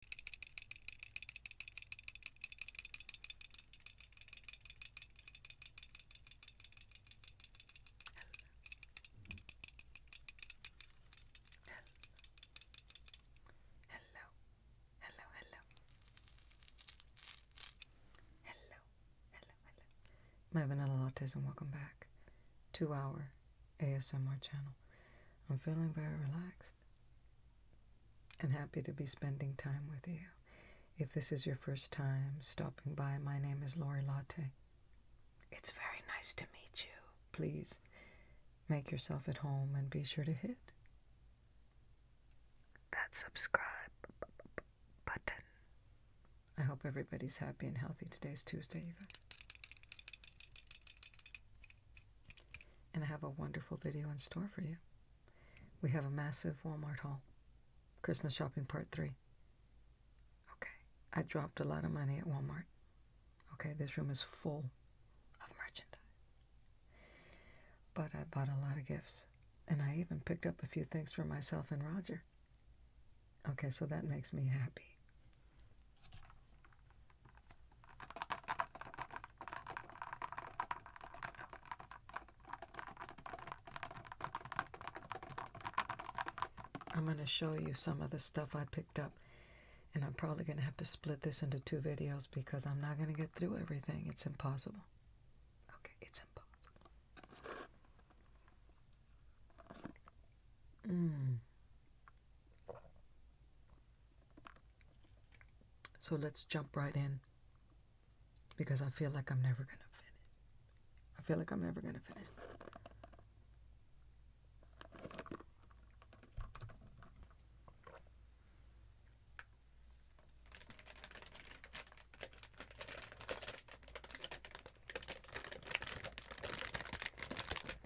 Hello. Hello, hello. Hello, hello, hello. My vanilla lattes and welcome back. to our ASMR channel. I'm feeling very relaxed and happy to be spending time with you. If this is your first time stopping by, my name is Lori Latte. It's very nice to meet you. Please make yourself at home and be sure to hit that subscribe button. I hope everybody's happy and healthy. Today's Tuesday, you guys. And I have a wonderful video in store for you. We have a massive Walmart haul. Christmas shopping part three. Okay, I dropped a lot of money at Walmart. Okay, this room is full of merchandise. But I bought a lot of gifts. And I even picked up a few things for myself and Roger. Okay, so that makes me happy. I'm going to show you some of the stuff I picked up. And I'm probably going to have to split this into two videos because I'm not going to get through everything. It's impossible. Okay, it's impossible. Mmm. So let's jump right in because I feel like I'm never going to finish. I feel like I'm never going to finish.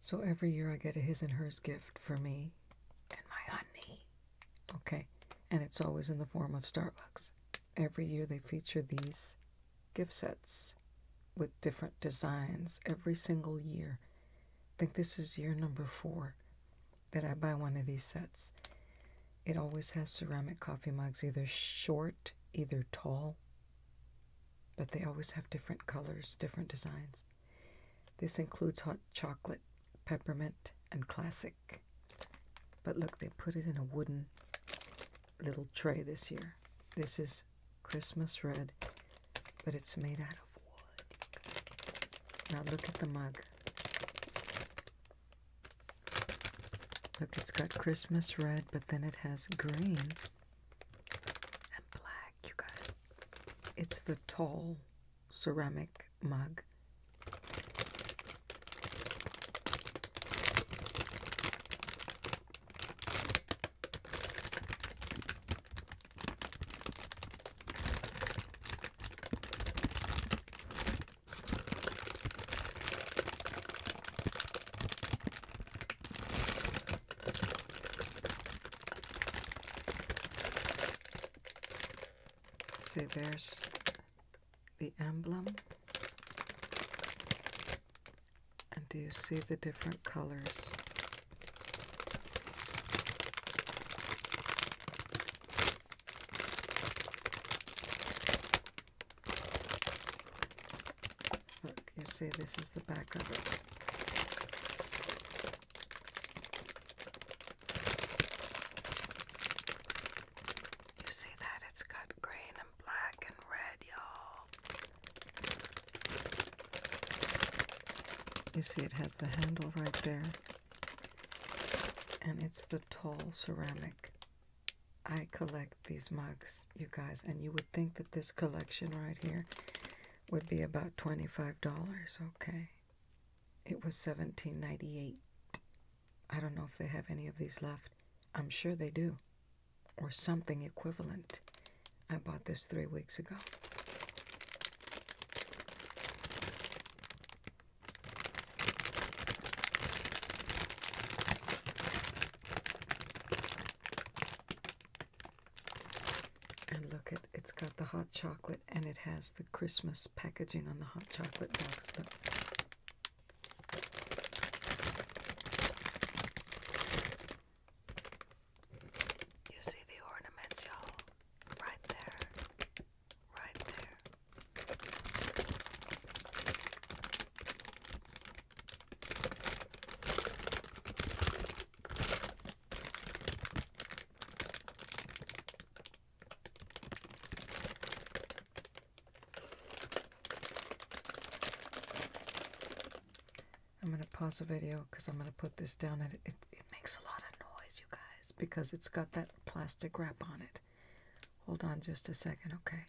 So every year I get a his and hers gift for me and my honey. Okay. And it's always in the form of Starbucks. Every year they feature these gift sets with different designs every single year. I think this is year number four that I buy one of these sets. It always has ceramic coffee mugs, either short, either tall, but they always have different colors, different designs. This includes hot chocolate, peppermint, and classic. But look, they put it in a wooden little tray this year. This is Christmas red, but it's made out of wood. Now look at the mug. Look, it's got Christmas red, but then it has green and black. You got It's the tall ceramic mug. See, there's the emblem. And do you see the different colors? Look, you see this is the back of it. You see that? It's got green and black and red, y'all. You see it has the handle right there and it's the tall ceramic. I collect these mugs, you guys, and you would think that this collection right here would be about $25, okay? It was $17.98. I don't know if they have any of these left. I'm sure they do, or something equivalent. I bought this three weeks ago. And look, it, it's got the hot chocolate and it has the Christmas packaging on the hot chocolate box. Look. You see the ornaments, y'all, right there right there. I'm going to pause the video because I'm going to put this down. It, it, it makes a lot of noise, you guys, because it's got that plastic wrap on it. Hold on just a second, okay?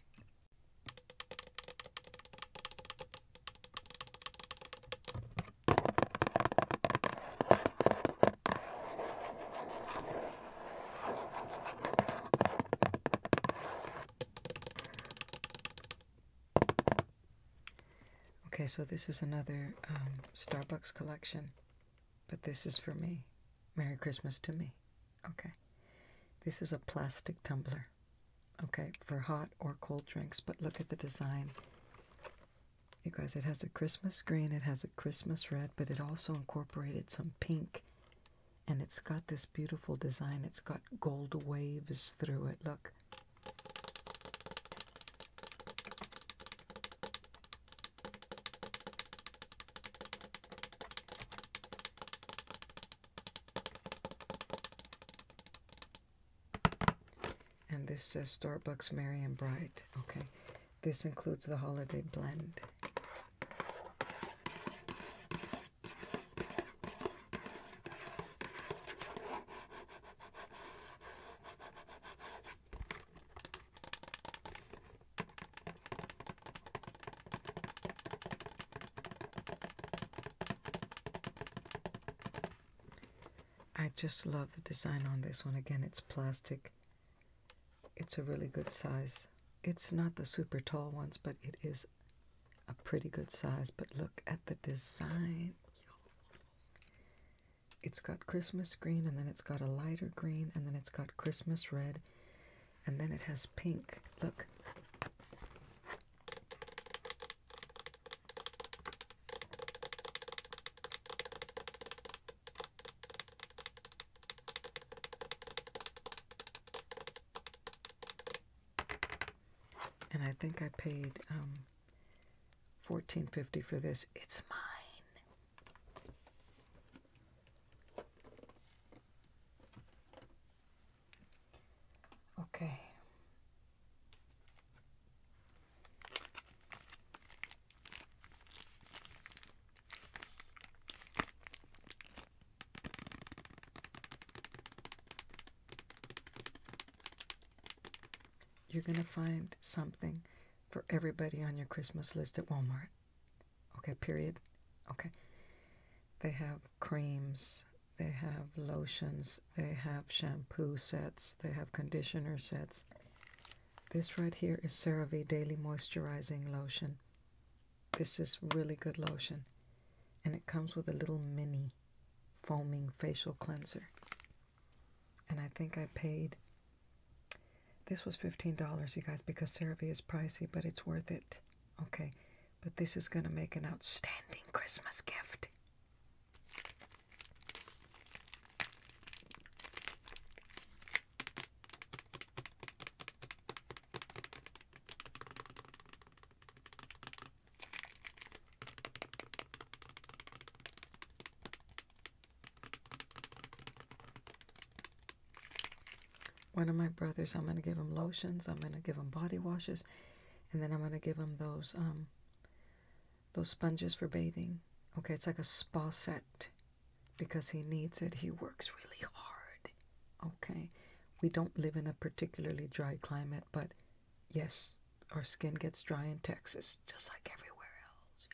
Okay, so this is another um, Starbucks collection. But this is for me. Merry Christmas to me. Okay. This is a plastic tumbler. Okay, for hot or cold drinks, but look at the design. You guys, it has a Christmas green, it has a Christmas red, but it also incorporated some pink. And it's got this beautiful design. It's got gold waves through it. Look. And this says Starbucks Merry and Bright. Okay. This includes the holiday blend. I just love the design on this one. Again, it's plastic. It's a really good size. It's not the super tall ones, but it is a pretty good size. But look at the design it's got Christmas green, and then it's got a lighter green, and then it's got Christmas red, and then it has pink. Look. And I think I paid um, $14.50 for this. It's mine. Okay. You're going to find something for everybody on your Christmas list at Walmart. Okay, period. Okay. They have creams, they have lotions, they have shampoo sets, they have conditioner sets. This right here is CeraVe Daily Moisturizing Lotion. This is really good lotion. And it comes with a little mini foaming facial cleanser and I think I paid this was $15 you guys because CeraVe is pricey but it's worth it okay but this is going to make an outstanding Christmas gift one of my brothers, I'm going to give him lotions, I'm going to give him body washes, and then I'm going to give him those um those sponges for bathing. Okay, it's like a spa set because he needs it. He works really hard. Okay. We don't live in a particularly dry climate, but yes, our skin gets dry in Texas just like everywhere else.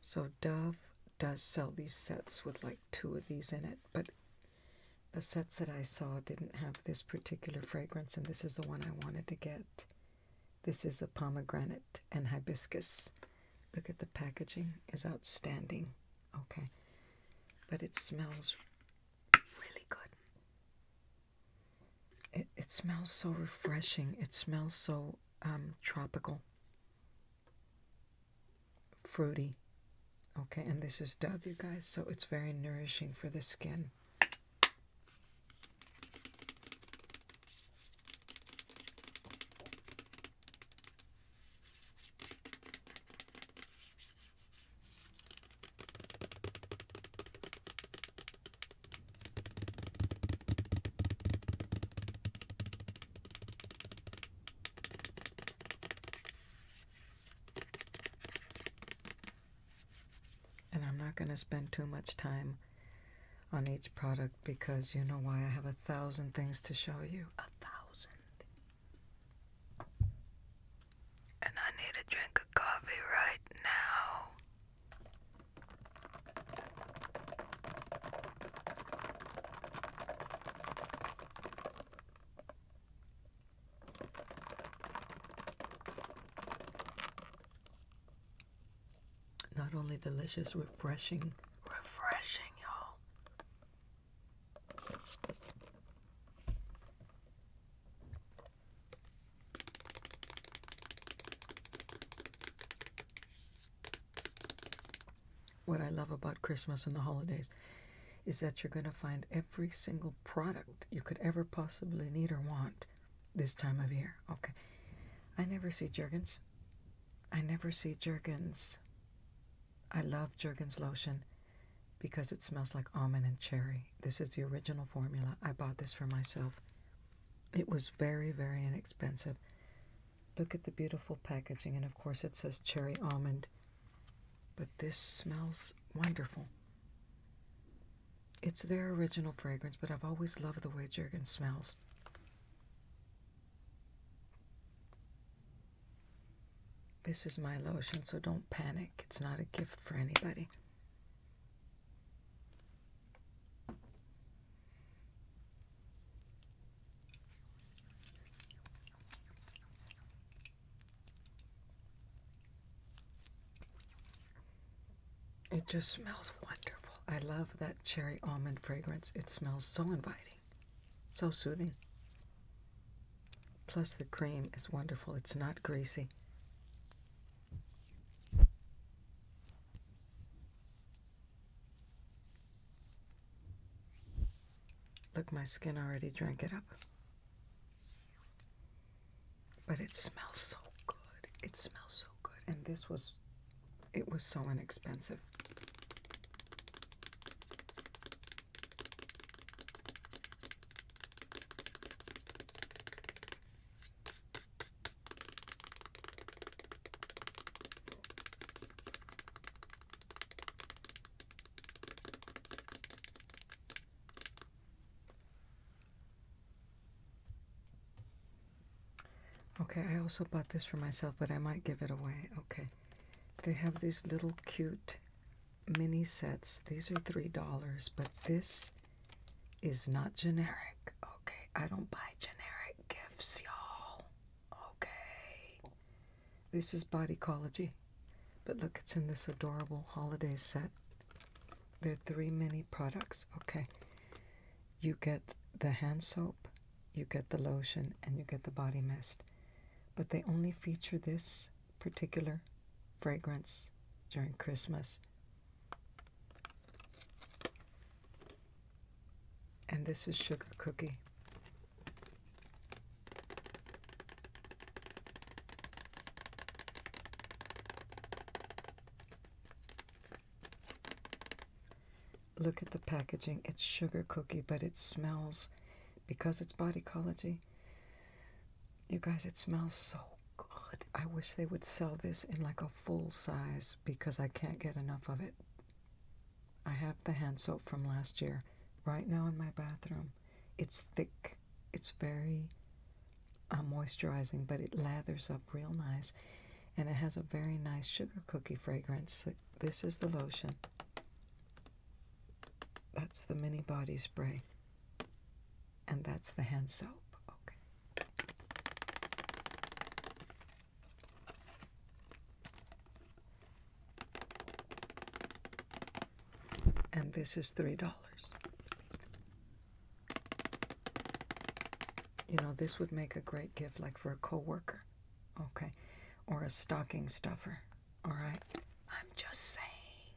So Dove does sell these sets with like two of these in it, but the sets that I saw didn't have this particular fragrance, and this is the one I wanted to get. This is a pomegranate and hibiscus. Look at the packaging is outstanding. Okay. But it smells really good. It, it smells so refreshing. It smells so um, tropical, fruity. Okay, and this is Dove, you guys, so it's very nourishing for the skin. And I'm not going to spend too much time on each product because you know why I have a thousand things to show you. A thousand. And I need a drink of coffee right now. Not only delicious, refreshing, refreshing, y'all. What I love about Christmas and the holidays is that you're going to find every single product you could ever possibly need or want this time of year. Okay. I never see Jergens. I never see Jergens. I love Jergens lotion because it smells like almond and cherry. This is the original formula. I bought this for myself it was very, very inexpensive. Look at the beautiful packaging, and of course, it says cherry almond. But this smells wonderful. It's their original fragrance, but I've always loved the way Jergens smells. This is my lotion, so don't panic. It's not a gift for anybody. It just smells wonderful. I love that cherry almond fragrance. It smells so inviting, so soothing. Plus, the cream is wonderful. It's not greasy. Look, my skin already drank it up. But it smells so good. It smells so good. And this was, it was so inexpensive. Okay, I also bought this for myself, but I might give it away. Okay. They have these little cute mini sets. These are $3, but this is not generic. Okay, I don't buy generic gifts, y'all. Okay. This is body ecology, But look, it's in this adorable holiday set. There are three mini products. Okay. You get the hand soap, you get the lotion, and you get the body mist. But they only feature this particular fragrance during Christmas and this is sugar cookie. Look at the packaging. It's sugar cookie, but it smells, because it's body collagy, you guys, it smells so God, I wish they would sell this in like a full size because I can't get enough of it. I have the hand soap from last year right now in my bathroom. It's thick, it's very uh, moisturizing, but it lathers up real nice and it has a very nice sugar cookie fragrance. This is the lotion. That's the mini body spray. And that's the hand soap. Okay. And this is $3. You know, this would make a great gift like for a coworker. Okay. Or a stocking stuffer. All right. I'm just saying.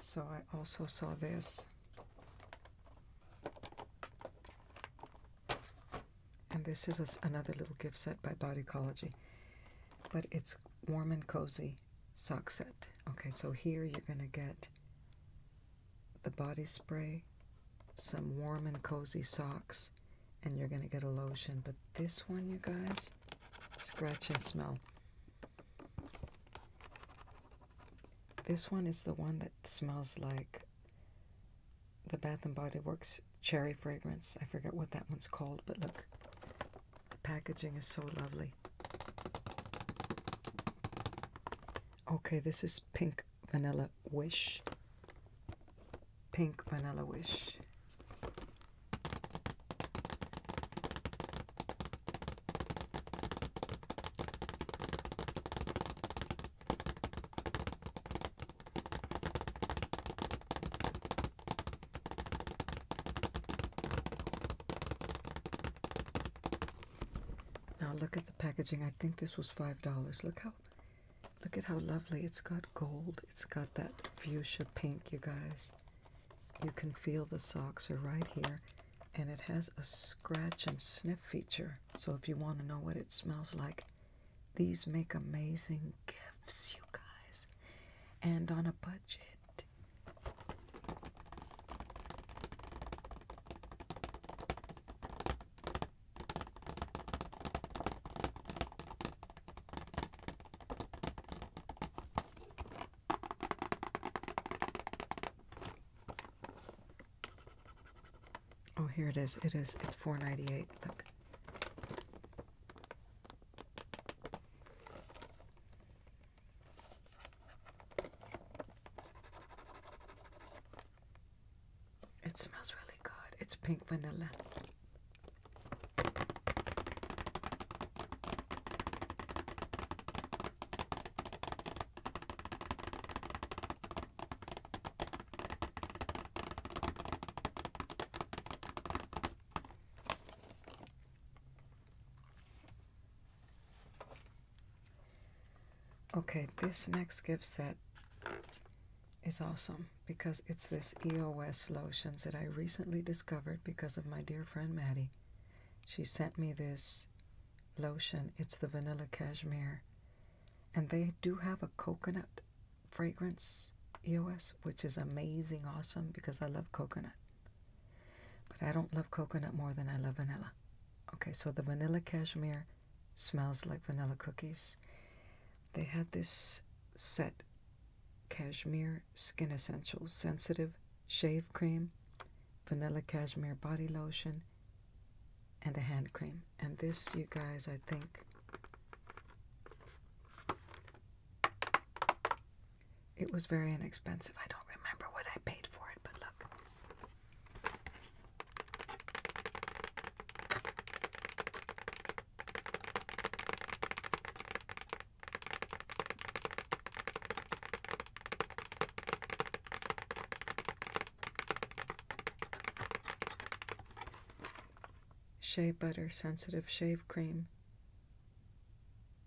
So I also saw this. And this is another little gift set by Body Bodycology. But it's warm and cozy sock set. Okay, so here you're going to get the body spray, some warm and cozy socks, and you're going to get a lotion. But this one, you guys, scratch and smell. This one is the one that smells like the Bath and Body Works cherry fragrance. I forget what that one's called, but look, the packaging is so lovely. Okay, this is Pink Vanilla Wish. Pink Vanilla Wish. Now look at the packaging. I think this was five dollars. Look how look at how lovely it's got gold. It's got that fuchsia pink, you guys. You can feel the socks are right here, and it has a scratch and sniff feature. So if you want to know what it smells like, these make amazing gifts, you guys, and on a budget. Oh, here it is. It is. It's 4.98. Look. It smells really good. It's pink vanilla. Okay, this next gift set is awesome because it's this EOS lotions that I recently discovered because of my dear friend Maddie she sent me this lotion. It's the vanilla cashmere. And they do have a coconut fragrance EOS, which is amazing, awesome, because I love coconut. But I don't love coconut more than I love vanilla. Okay, so the vanilla cashmere smells like vanilla cookies. They had this set Cashmere Skin Essentials Sensitive Shave Cream, Vanilla Cashmere Body Lotion, and a hand cream. And this, you guys, I think it was very inexpensive. I don't remember what I paid for it, but look. Shea Butter Sensitive Shave Cream,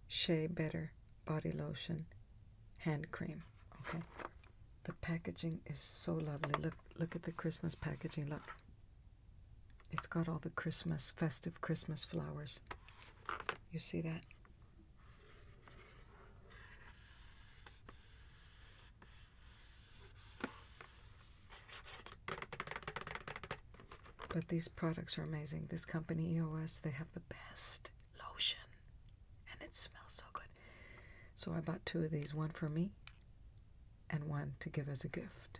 Shea Butter Body Lotion, Hand Cream. Okay, the packaging is so lovely. Look, look at the Christmas packaging. Look, it's got all the Christmas, festive Christmas flowers. You see that? But these products are amazing. This company, EOS, they have the best lotion and it smells so good. So I bought two of these one for me and one to give as a gift.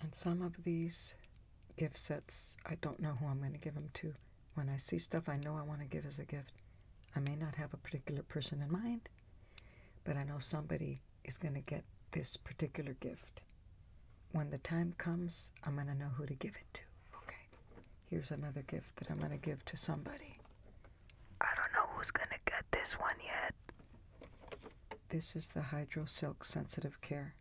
And some of these gift sets, I don't know who I'm going to give them to. When I see stuff I know I want to give as a gift, I may not have a particular person in mind, but I know somebody is going to get this particular gift. When the time comes, I'm going to know who to give it to. Okay. Here's another gift that I'm going to give to somebody. I don't know who's going to get this one yet. This is the Hydro Silk Sensitive Care.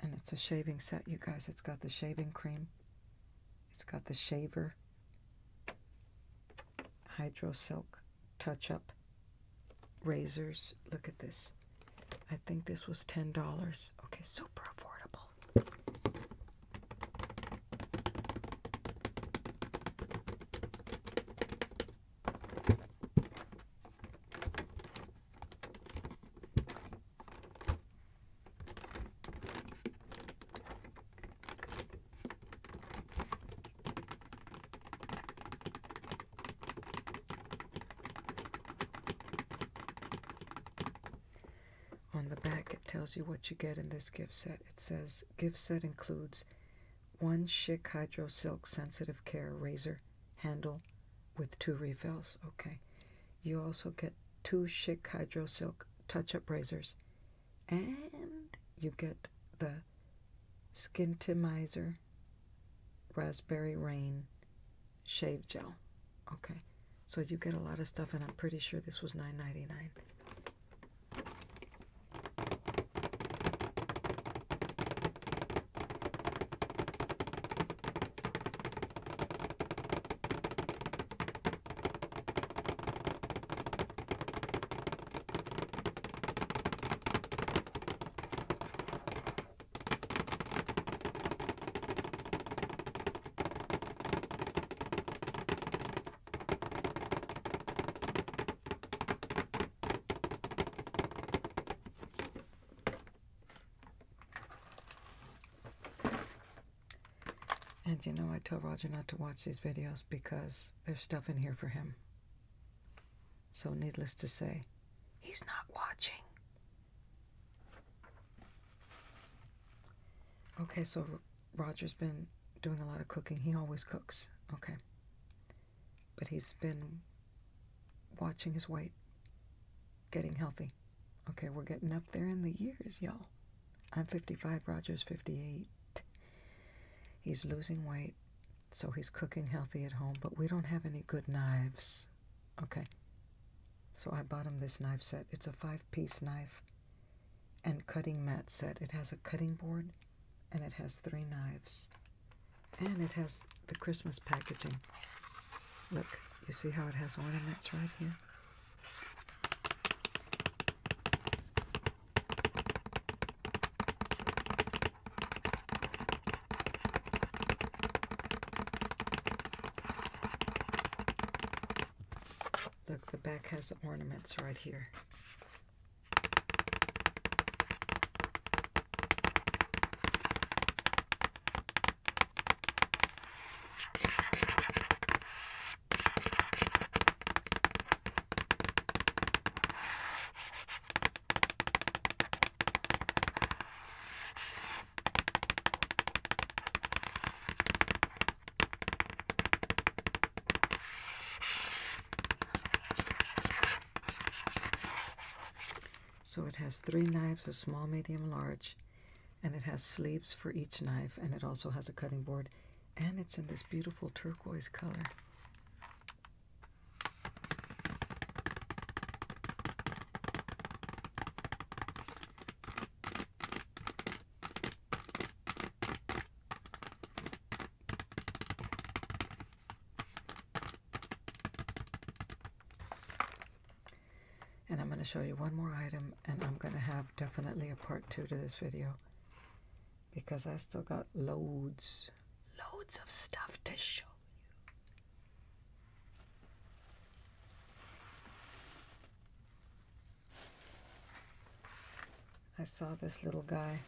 And it's a shaving set, you guys. It's got the shaving cream, it's got the shaver, Hydro Silk touch-up razors. Look at this. I think this was $10. Okay, super affordable. On the back, it tells you what you get in this gift set. It says, Gift set includes one Chic Hydro Silk Sensitive Care razor handle with two refills. Okay. You also get two Chic Hydro Silk touch up razors and you get the Skintimizer Raspberry Rain Shave Gel. Okay, so you get a lot of stuff, and I'm pretty sure this was $9.99. And you know, I tell Roger not to watch these videos because there's stuff in here for him. So, needless to say, he's not watching. Okay, so Roger's been doing a lot of cooking. He always cooks. Okay. But he's been watching his weight, getting healthy. Okay, we're getting up there in the years, y'all. I'm 55, Roger's 58. He's losing weight. So he's cooking healthy at home, but we don't have any good knives. Okay. So I bought him this knife set. It's a five piece knife and cutting mat set. It has a cutting board and it has three knives. And it has the Christmas packaging. Look, you see how it has ornaments right here? Look, the back has ornaments right here. So it has three knives, a small, medium, large, and it has sleeves for each knife, and it also has a cutting board, and it's in this beautiful turquoise color. And I'm going to show you one more item, and I'm going to have definitely a part two to this video because I still got loads, loads of stuff to show you. I saw this little guy.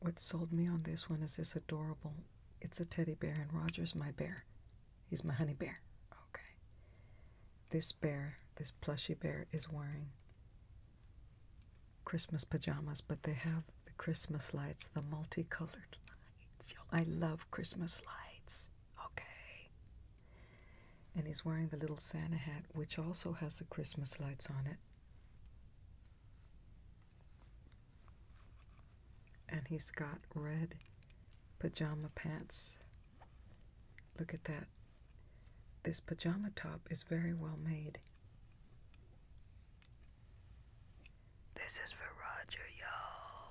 What sold me on this one is this adorable it's a teddy bear, and Roger's my bear. He's my honey bear. Okay. This bear, this plushy bear, is wearing Christmas pajamas, but they have the Christmas lights, the multicolored lights. I love Christmas lights. Okay. And he's wearing the little Santa hat, which also has the Christmas lights on it. And he's got red pajama pants. Look at that. This pajama top is very well made. This is for Roger, y'all.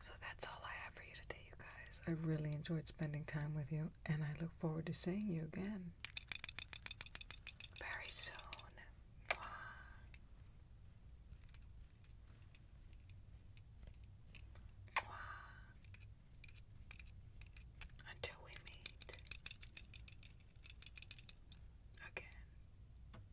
So that's all I have for you today, you guys. I really enjoyed spending time with you, and I look forward to seeing you again very soon. Until we meet again.